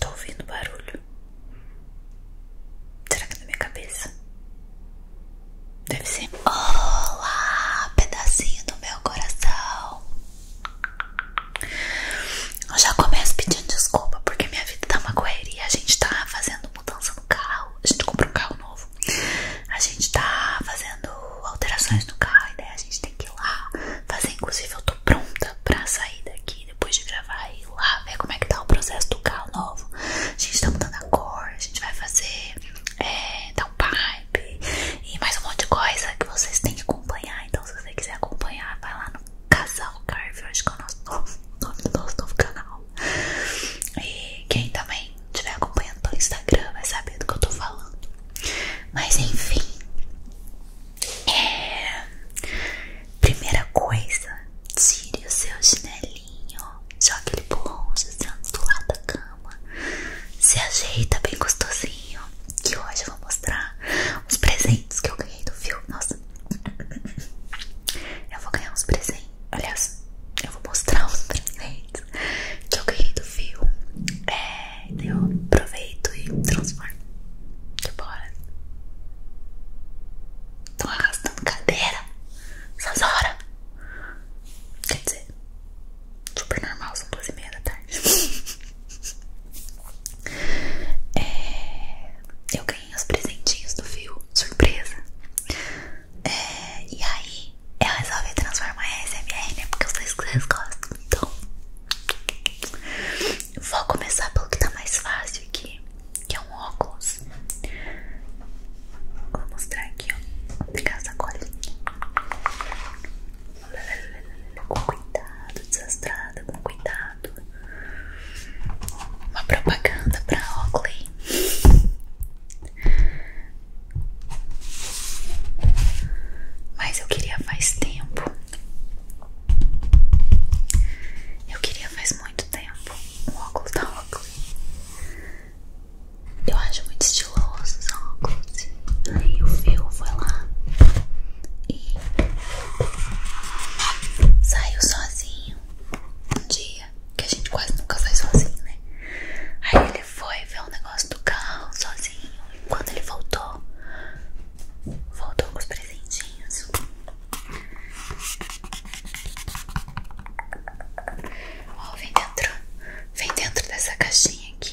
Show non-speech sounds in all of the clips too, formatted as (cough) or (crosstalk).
Tô ouvindo barulho. Será que é na minha cabeça? Deve ser. Olá, pedacinho do meu coração. Eu já começo pedindo desculpa porque minha vida tá uma correria. A gente tá fazendo mudança no carro. A gente comprou um carro novo. A gente tá fazendo alterações no carro, a ideia é a gente tem que ir lá fazer. Inclusive, eu tô pronta pra sair daqui depois de gravar e ir lá ver como é que tá o processo do carro novo. A gente tá mudando a cor, a gente vai fazer é, downpipe e mais um monte de coisa que vocês têm que acompanhar. Então, se você quiser acompanhar, vai lá no Casal Carve, hoje que é o nosso nome do nosso novo canal. E quem também quem estiver acompanhando pelo Instagram vai saber do que eu tô falando. Mas enfim, é... primeira coisa, tire o seu chinelinho, joga ele por longe, do lado da cama, se ajeita bem gostosinho. Que hoje eu vou mostrar os presentes que eu ganhei do filme. Nossa, eu vou ganhar uns presentes. Aliás, eu vou mostrar os presentes que eu ganhei do fio. É, eu aproveito e transformo. Que bora. Tô arrastando cadeira. Essas horas. Quer dizer, super normal, são duas e meia da tarde. (laughs) É, eu ganhei os presentinhos do fio, surpresa. É, e aí eu resolvi transformar em SMR, né? Porque eu sei que vocês gostam. Então, vou começar pelo que tá mais fácil aqui, que é um óculos. Vou mostrar aqui, ó. Vou pegar essa colinha. Com cuidado, desastrada, com cuidado. Uma propaganda pra Oakley. Mas eu queria faz tempo. Eu queria faz muito tempo o óculos da Oakley. Eu acho muito estiloso os óculos. Aí o Phil foi lá e saiu sozinho que a gente quase nunca sai sozinho, né? Aí ele foi ver o negócio do carro sozinho. E quando ele voltou, voltou com os presentinhos. Ó, vem dentro, vem dentro dessa caixinha aqui.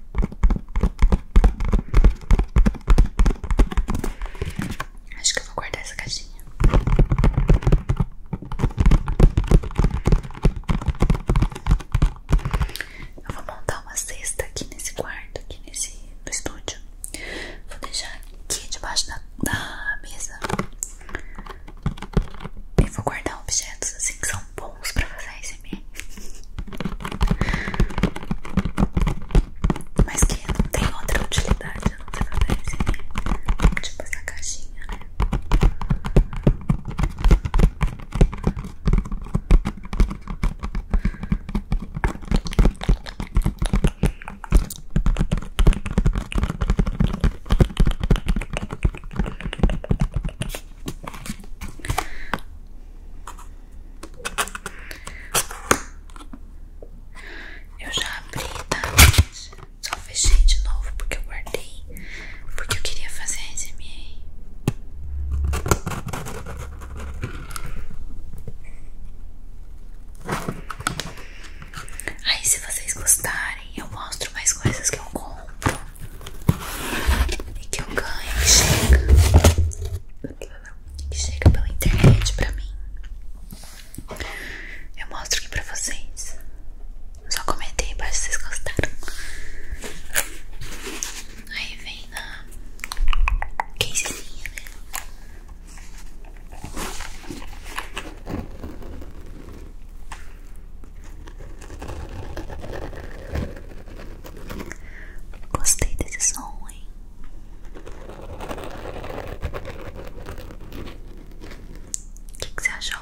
Acho que eu vou guardar essa caixinha. Eu vou montar uma cesta aqui nesse quarto, aqui nesse no estúdio. Vou deixar aqui debaixo da, da mesa. E vou guardar objetos assim que são bons pra fazer esse ASMR Mas que não tem outra utilidade a não ser fazer ASMR Tipo essa caixinha, né? Eu já abri, tá? Só fechei de novo porque eu guardei. Porque eu queria fazer a SMA. Aí, se vocês gostarem, eu mostro mais coisas que eu compro. E que eu ganho chega Que chega pela internet pra mim Eu mostro aqui pra vocês Só comentei embaixo se vocês gostaram Aí vem na casezinha, né? Gostei desse som, hein? que, que você achou?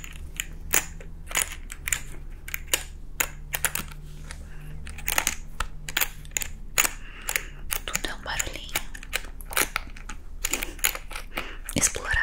Tudo é um barulhinho explorável.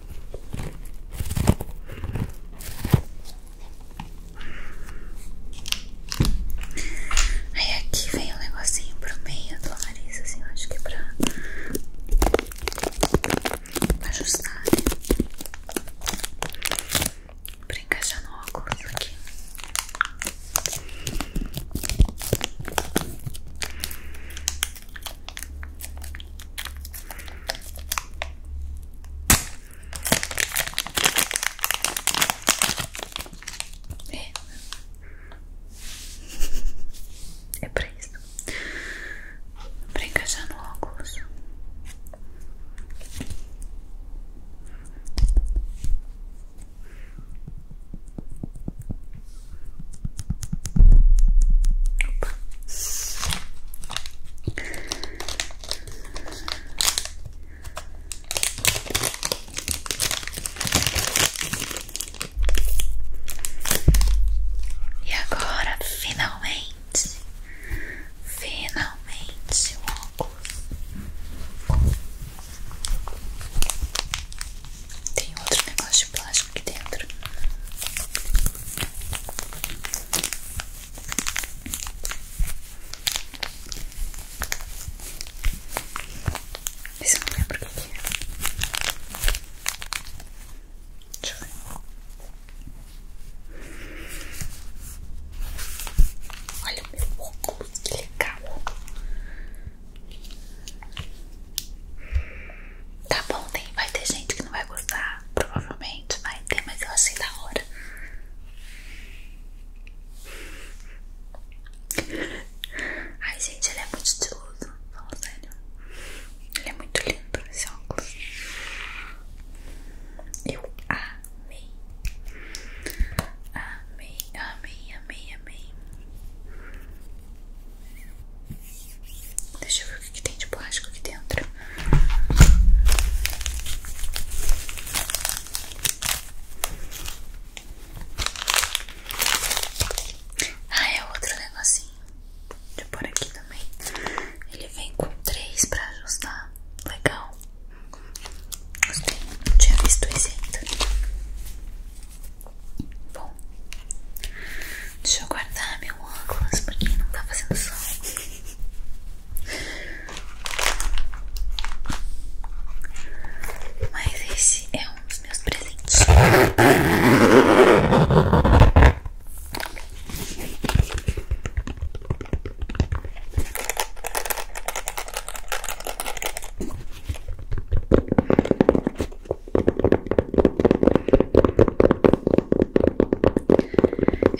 Aí aqui vem um negocinho pro meio do nariz, assim, eu acho que é pra, pra ajustar, né? pra encaixar no óculos aqui. É. é pra isso. Pra encaixar no óculos. Opa. E agora, finalmente, finalmente o óculos. Tem outro negócio de plástico plástico aqui dentro. Esse eu não lembro o que é. Deixa eu Olha o meu óculos, que legal. Tá bom, tem, vai ter gente que não vai gostar. Provavelmente vai ter, mas eu achei da hora. Ai, gente, ele é muito estiloso. Fala sério. Ele é muito lindo esse óculos. Eu amei. Amei, amei, amei, amei. Deixa eu ver o que, tem de plástico aqui dentro. Ah, é outro negocinho deixa eu por aqui também. Ele vem com três pra ajustar. Legal. Gostei, não tinha visto esse ainda. Bom, Deixa eu guardar meu óculos porque não tá fazendo sol Mas esse é um dos meus presentes. Eu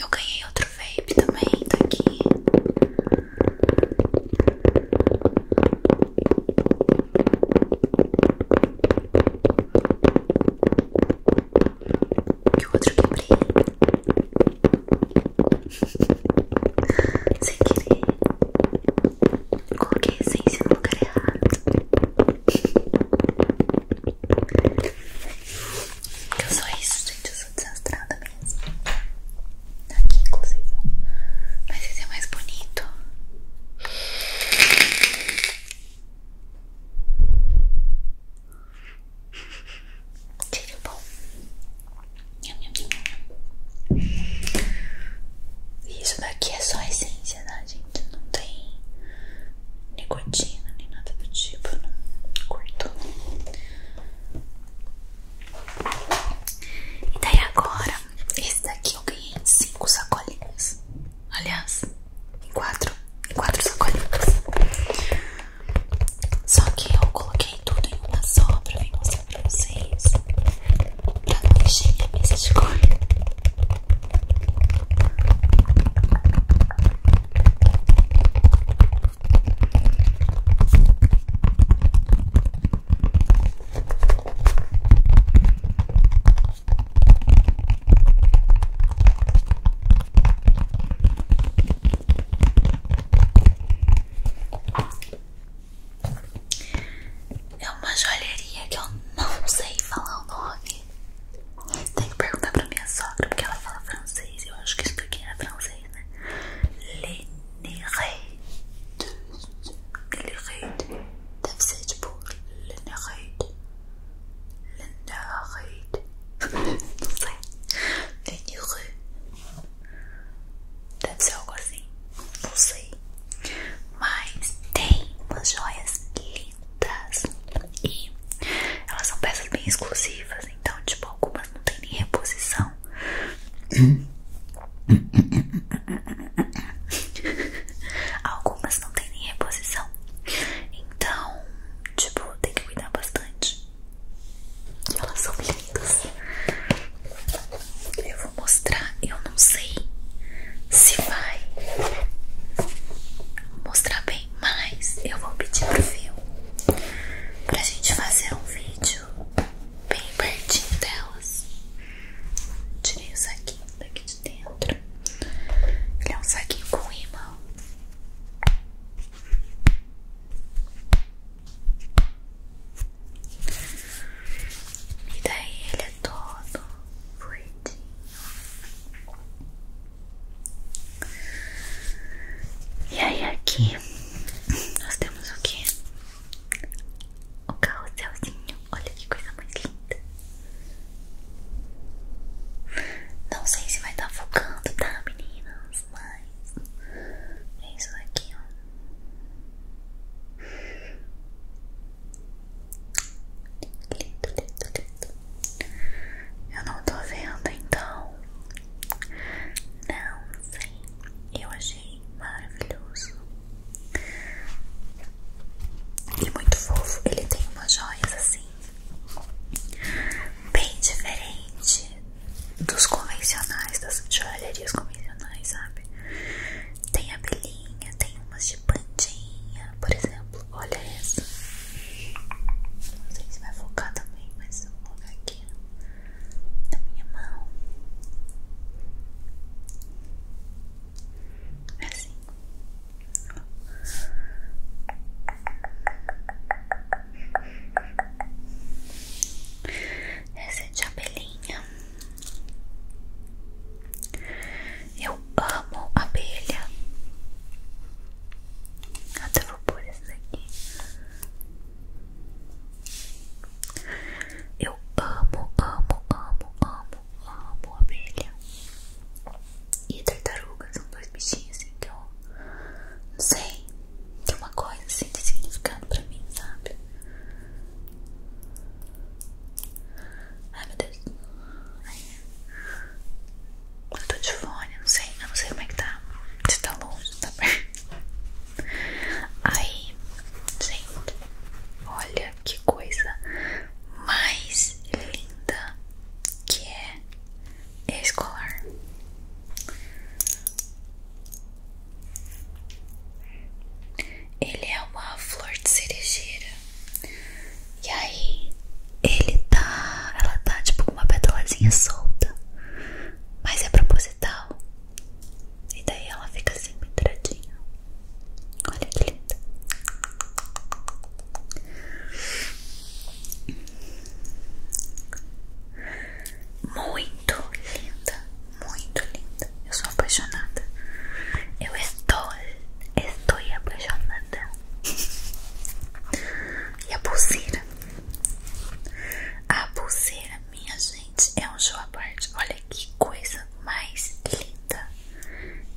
ganhei outro vape também, tá aqui. Que outro que brilha. Sem querer. Coloquei a essência no lugar errado. Eu sou isso, gente. Eu sou desastrada mesmo. Tá aqui, inclusive. Mas esse é mais bonito. Tire o bom. Isso daqui é só essência, né, gente? não tem nicotina nem nada do tipo, não curto. E daí agora, esse daqui eu ganhei em 5 sacolinhas. Aliás, em 4. sacolinhas. Só que eu coloquei tudo em uma só pra vir mostrar pra vocês. Pra não encher minha mesa de cor. É uma joalheria que eu não sei falar o nome aqui. Tem que perguntar pra minha sogra, porque ela fala francês. Eu acho que isso aqui é francês, né? L'Enerade. L'Enerade. Deve ser tipo L'Enerade. L'Enerade. (laughs) Não sei. L'Enerade. Deve ser algo assim. Não sei. Mas tem umas joias lindas lindas e elas são peças bem exclusivas, então tipo algumas não tem nem reposição. (laughs) algumas não tem nem reposição. Então, tipo, tem que cuidar bastante. elas são lindas. Eu vou mostrar, não sei se vai mostrar bem, mas eu vou pedir pro Phil pra gente fazer um vídeo bem pertinho delas. Tirei o saquinho daqui de dentro. Ele é um saquinho com imã. E daí ele é todo fluidinho. E aí aqui nós temos o que? O carrozinho olha que coisa mais linda. Não sei se vai estar tá focando, tá meninas? Mas é isso aqui, ó. Lindo, lindo, lindo. Eu não tô vendo, então. Não sei. Eu achei maravilhoso. E muito fofo. Ele tem umas joias assim. Bem diferente dos convencionais, das joalherias convencionais, sabe? Tem abelhinha, tem umas de de plantinha, por exemplo. Olha essa. Não sei se vai focar também, mas eu vou aqui na minha mão. É assim. Essa é de abelhinha. Eu amo abelha. Até vou pôr esse daqui. Eu amo, amo, amo, amo, amo abelha. E tartaruga são dois bichinhos assim que eu não sei. Tem uma coisa assim de significado pra mim, sabe? Ai meu Deus. Ai. Eu tô de fone, não sei. Eu não sei como é que tá. Se tá longe, se tá perto. Aí, gente. Olha que coisa mais linda que é escolar ele é uma flor de cerejeira. E aí ele tá, ela tá tipo com uma petalazinha solta, mas é proposital. E daí ela fica assim penduradinha. Olha que linda. Muito linda, muito linda. Eu sou apaixonada. Eu estou, estou apaixonada. E a pulseira? A pulseira, minha gente, é um show à parte. Olha que coisa mais linda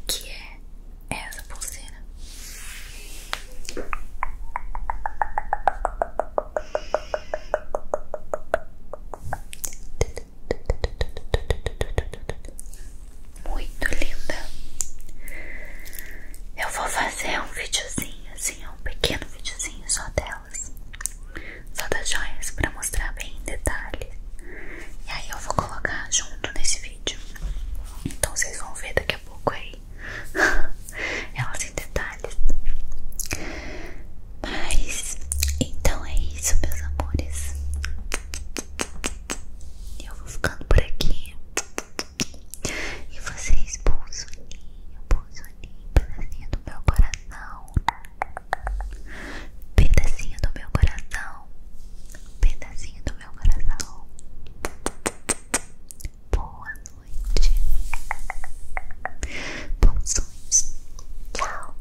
que é essa pulseira. Muito linda. Eu vou fazer um videozinho, assim, um pequeno videozinho só delas, só das joias, pra mostrar bem em detalhe. E aí eu vou colocar junto nesse vídeo. Então vocês vão ver daqui a pouco aí (laughs) elas em detalhes. Mas então é isso, meus amores. Eu vou ficando por aqui. E vocês, bolsoninho, bolsoninho, pedacinho do meu coração. Pedacinho do meu coração. Pedacinho do meu coração. Boa noite. Bons sonhos. Tchau.